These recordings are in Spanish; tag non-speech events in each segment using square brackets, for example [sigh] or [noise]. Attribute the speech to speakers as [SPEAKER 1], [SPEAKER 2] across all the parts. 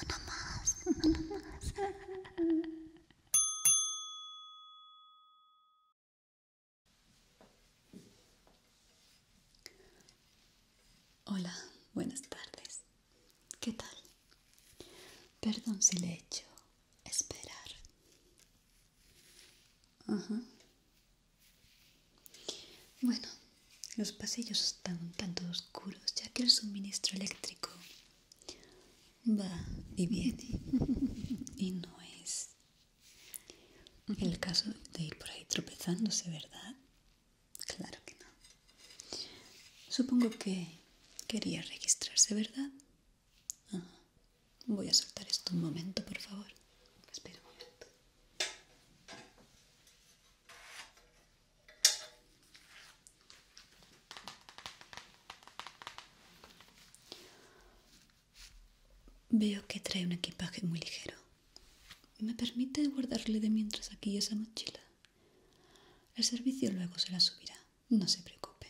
[SPEAKER 1] [laughs] Hola, buenas tardes. ¿Qué tal? Perdón si le echo... esperar. Ajá. Bueno, los pasillos están un tanto oscuros ya que el suministro eléctrico va y viene [laughs] y no es el caso de ir por ahí tropezándose, ¿verdad? Claro que no. Supongo que quería registrarse, ¿verdad? Ah, voy a soltar esto un momento, por favor. Espera un momento. Veo que trae un equipaje muy ligero. ¿Me permite guardarle de mientras aquí esa mochila? El servicio luego se la subirá. No se preocupe.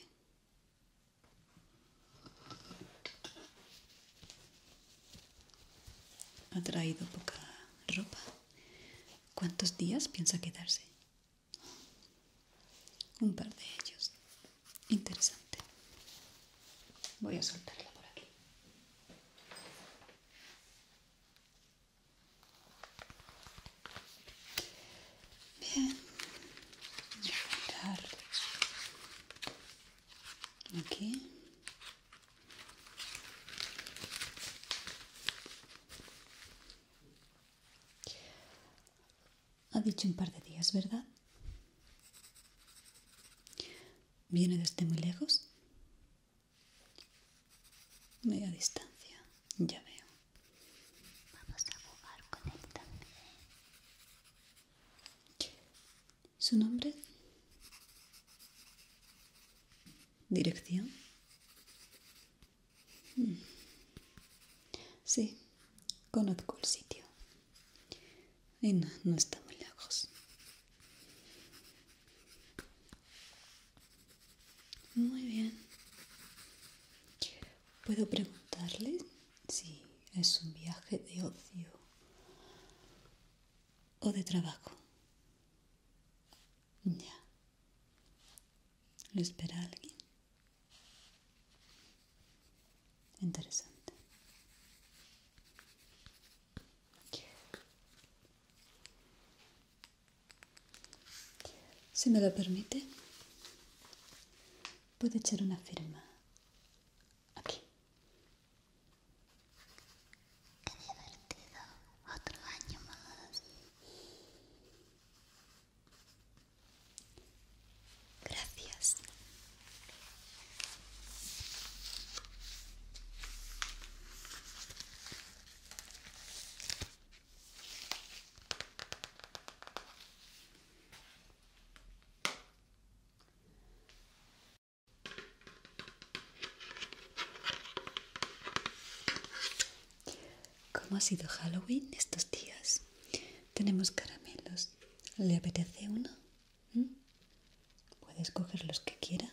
[SPEAKER 1] Ha traído poca ropa. ¿Cuántos días piensa quedarse? Un par de ellos. Interesante. Voy a soltarla por aquí. Bien. Voy a aquí ha dicho un par de días verdad viene desde muy lejos media distancia ya veo vamos a jugar con él también ¿Su nombre? ¿Dirección? Mm. Sí, conozco el sitio. Y no, no está muy lejos. Muy bien. ¿Puedo preguntarle Sí, es un viaje de ocio o de trabajo. Ya. Lo espera alguien. Interesante. Si me lo permite, puede echar una firma Aquí. Qué divertido. Otro año más. Gracias. ¿Cómo ha sido Halloween estos días? Tenemos caramelos. ¿Le apetece uno? ¿Mm? Puede escoger los que quiera.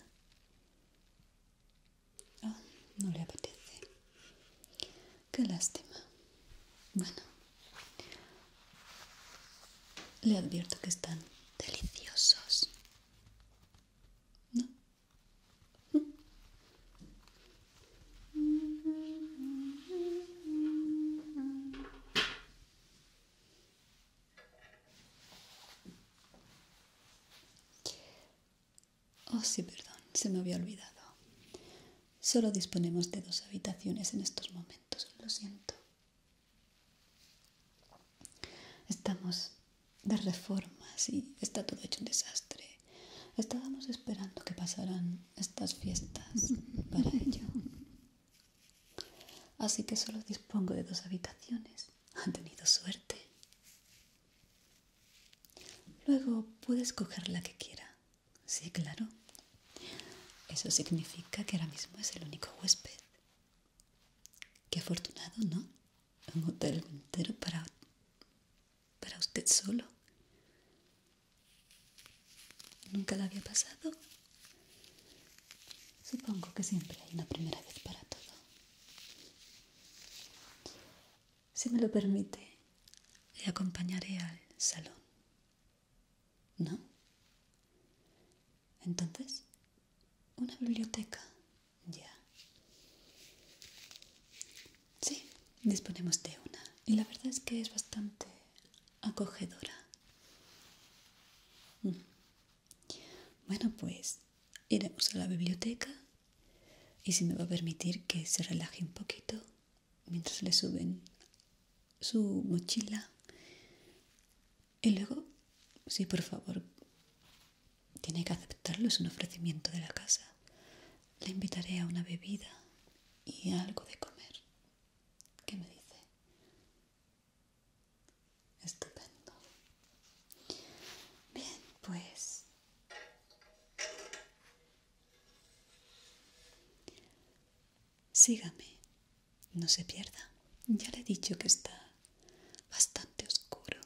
[SPEAKER 1] Ah, no le apetece. Qué lástima. Bueno, le advierto que están deliciosos. Oh, sí, perdón, se me había olvidado. Solo disponemos de dos habitaciones en estos momentos, lo siento. Estamos de reformas y está todo hecho un desastre. Estábamos esperando que pasaran estas fiestas para ello. Así que solo dispongo de dos habitaciones. Han tenido suerte. Luego puedes coger la que quiera. Sí, claro. Eso significa que ahora mismo es el único huésped. Qué afortunado, ¿no? Un hotel entero para, para usted solo. ¿Nunca la había pasado? Supongo que siempre hay una primera vez para todo. Si me lo permite, le acompañaré al salón. ¿No? Entonces, una biblioteca. Ya. Sí, disponemos de una. Y la verdad es que es bastante acogedora. Mm. Bueno, pues iremos a la biblioteca y si me va a permitir que se relaje un poquito mientras le suben su mochila. Y luego, si por favor, tiene que aceptarlo, es un ofrecimiento de la casa. Le invitaré a una bebida y algo de comer. ¿Qué me dice? Estupendo. Bien, pues Sígame, no se pierda. Ya le he dicho que está bastante oscuro.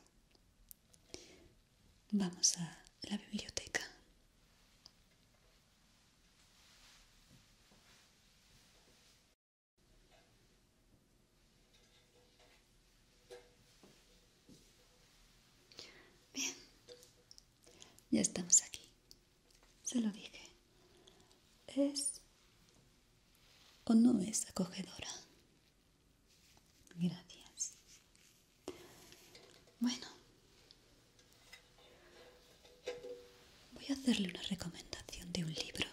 [SPEAKER 1] Vamos a la biblioteca. Bien, ya estamos aquí. Se lo dije. Es o no es acogedora. Gracias. Bueno, voy a hacerle una recomendación de un libro.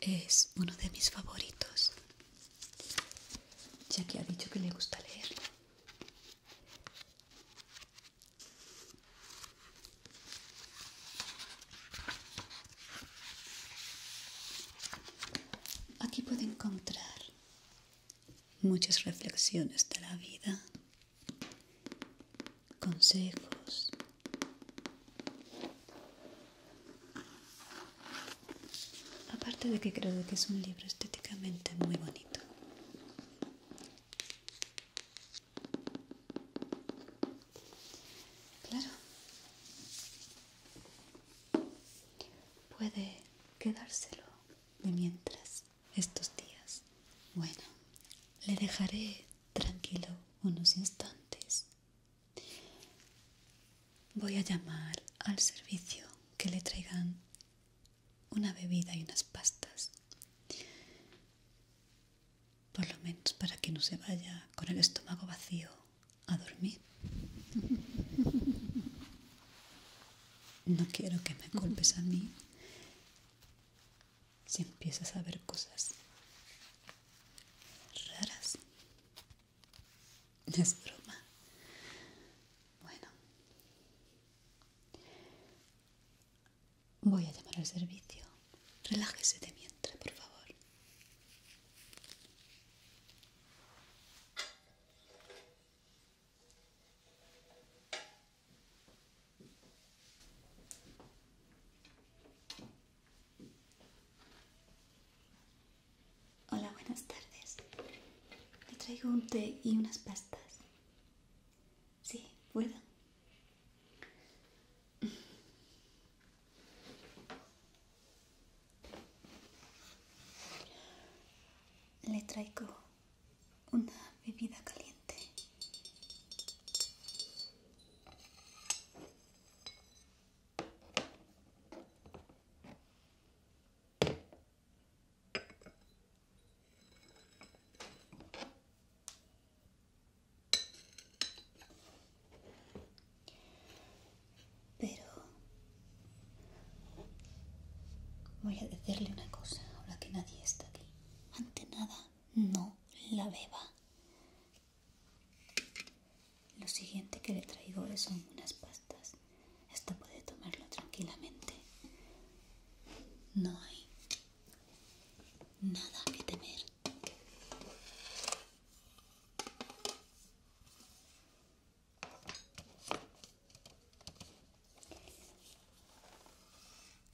[SPEAKER 1] Es uno de mis favoritos, ya que ha dicho que le gusta leer Aquí puede encontrar muchas reflexiones de la vida, consejos. Aparte de que creo que es un libro estéticamente muy bonito. Claro puede quedárselo de mientras estos días. Bueno, le dejaré tranquilo unos instantes. Voy a llamar al servicio que le traigan una bebida y unas pastas. Por lo menos para que no se vaya con el estómago vacío a dormir. No quiero que me culpes a mí si empiezas a ver cosas raras. Es broma. Bueno. Voy a llamar al servicio. Relájese de mientras, por favor. Hola, buenas tardes. Le traigo un té y unas pastas. Sí, puedo. Le traigo una bebida caliente. Pero voy a decirle una cosa, ahora que nadie está aquí. Ante nada, no la beba. Lo siguiente que le traigo son unas pastas. Esto puede tomarlo tranquilamente. No hay nada que temer.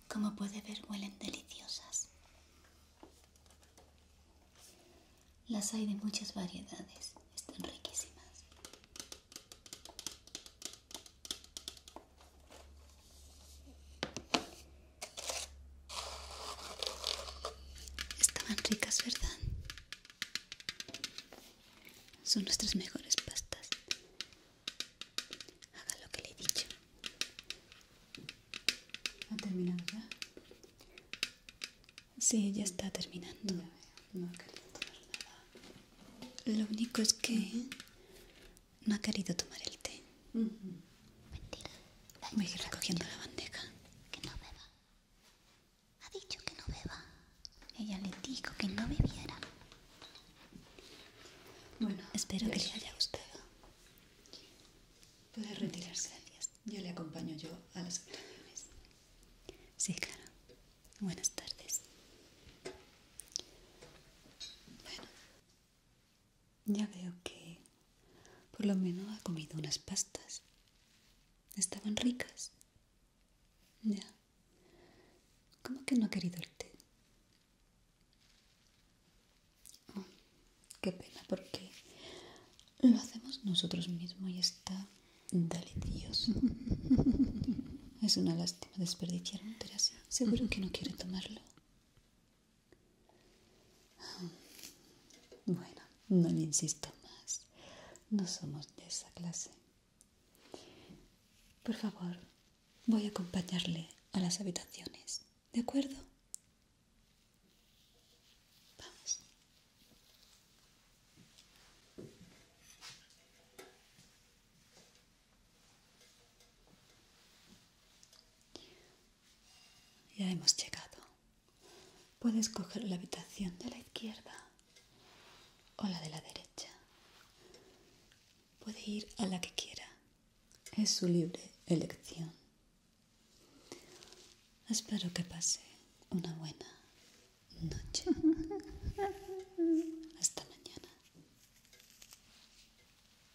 [SPEAKER 1] Como puede ver, huelen deliciosas. Las hay de muchas variedades, están riquísimas. Estaban ricas, ¿verdad? Son nuestras mejores pastas. Haga lo que le he dicho. ¿Ha terminado ya? Sí, ya está terminando. no ha querido tomar nada. Lo único es que no ha querido tomar el té. Mentira. Voy a ir recogiendo la bandeja. Que no beba. Ha dicho que no beba. Ella le dijo que no bebiera. Bueno, espero que le haya gustado. Puede retirarse. Gracias. Yo le acompaño yo a las operaciones Sí, claro. Buenas tardes. Bueno, ya veo que por lo menos ha comido unas pastas. Estaban ricas. Ya. ¿Cómo que no ha querido el té? Oh, qué pena, porque lo hacemos nosotros mismos y está delicioso. [laughs] es una lástima desperdiciar un Seguro que no quiere tomarlo. Bueno, no le insisto más. No somos de esa clase. Por favor, voy a acompañarle a las habitaciones. ¿De acuerdo? Vamos. Ya hemos llegado. Puedes coger la habitación de la izquierda o la de la derecha. Puede ir a la que quiera. Es su libre elección. Espero que pase una buena noche. [laughs] Hasta mañana.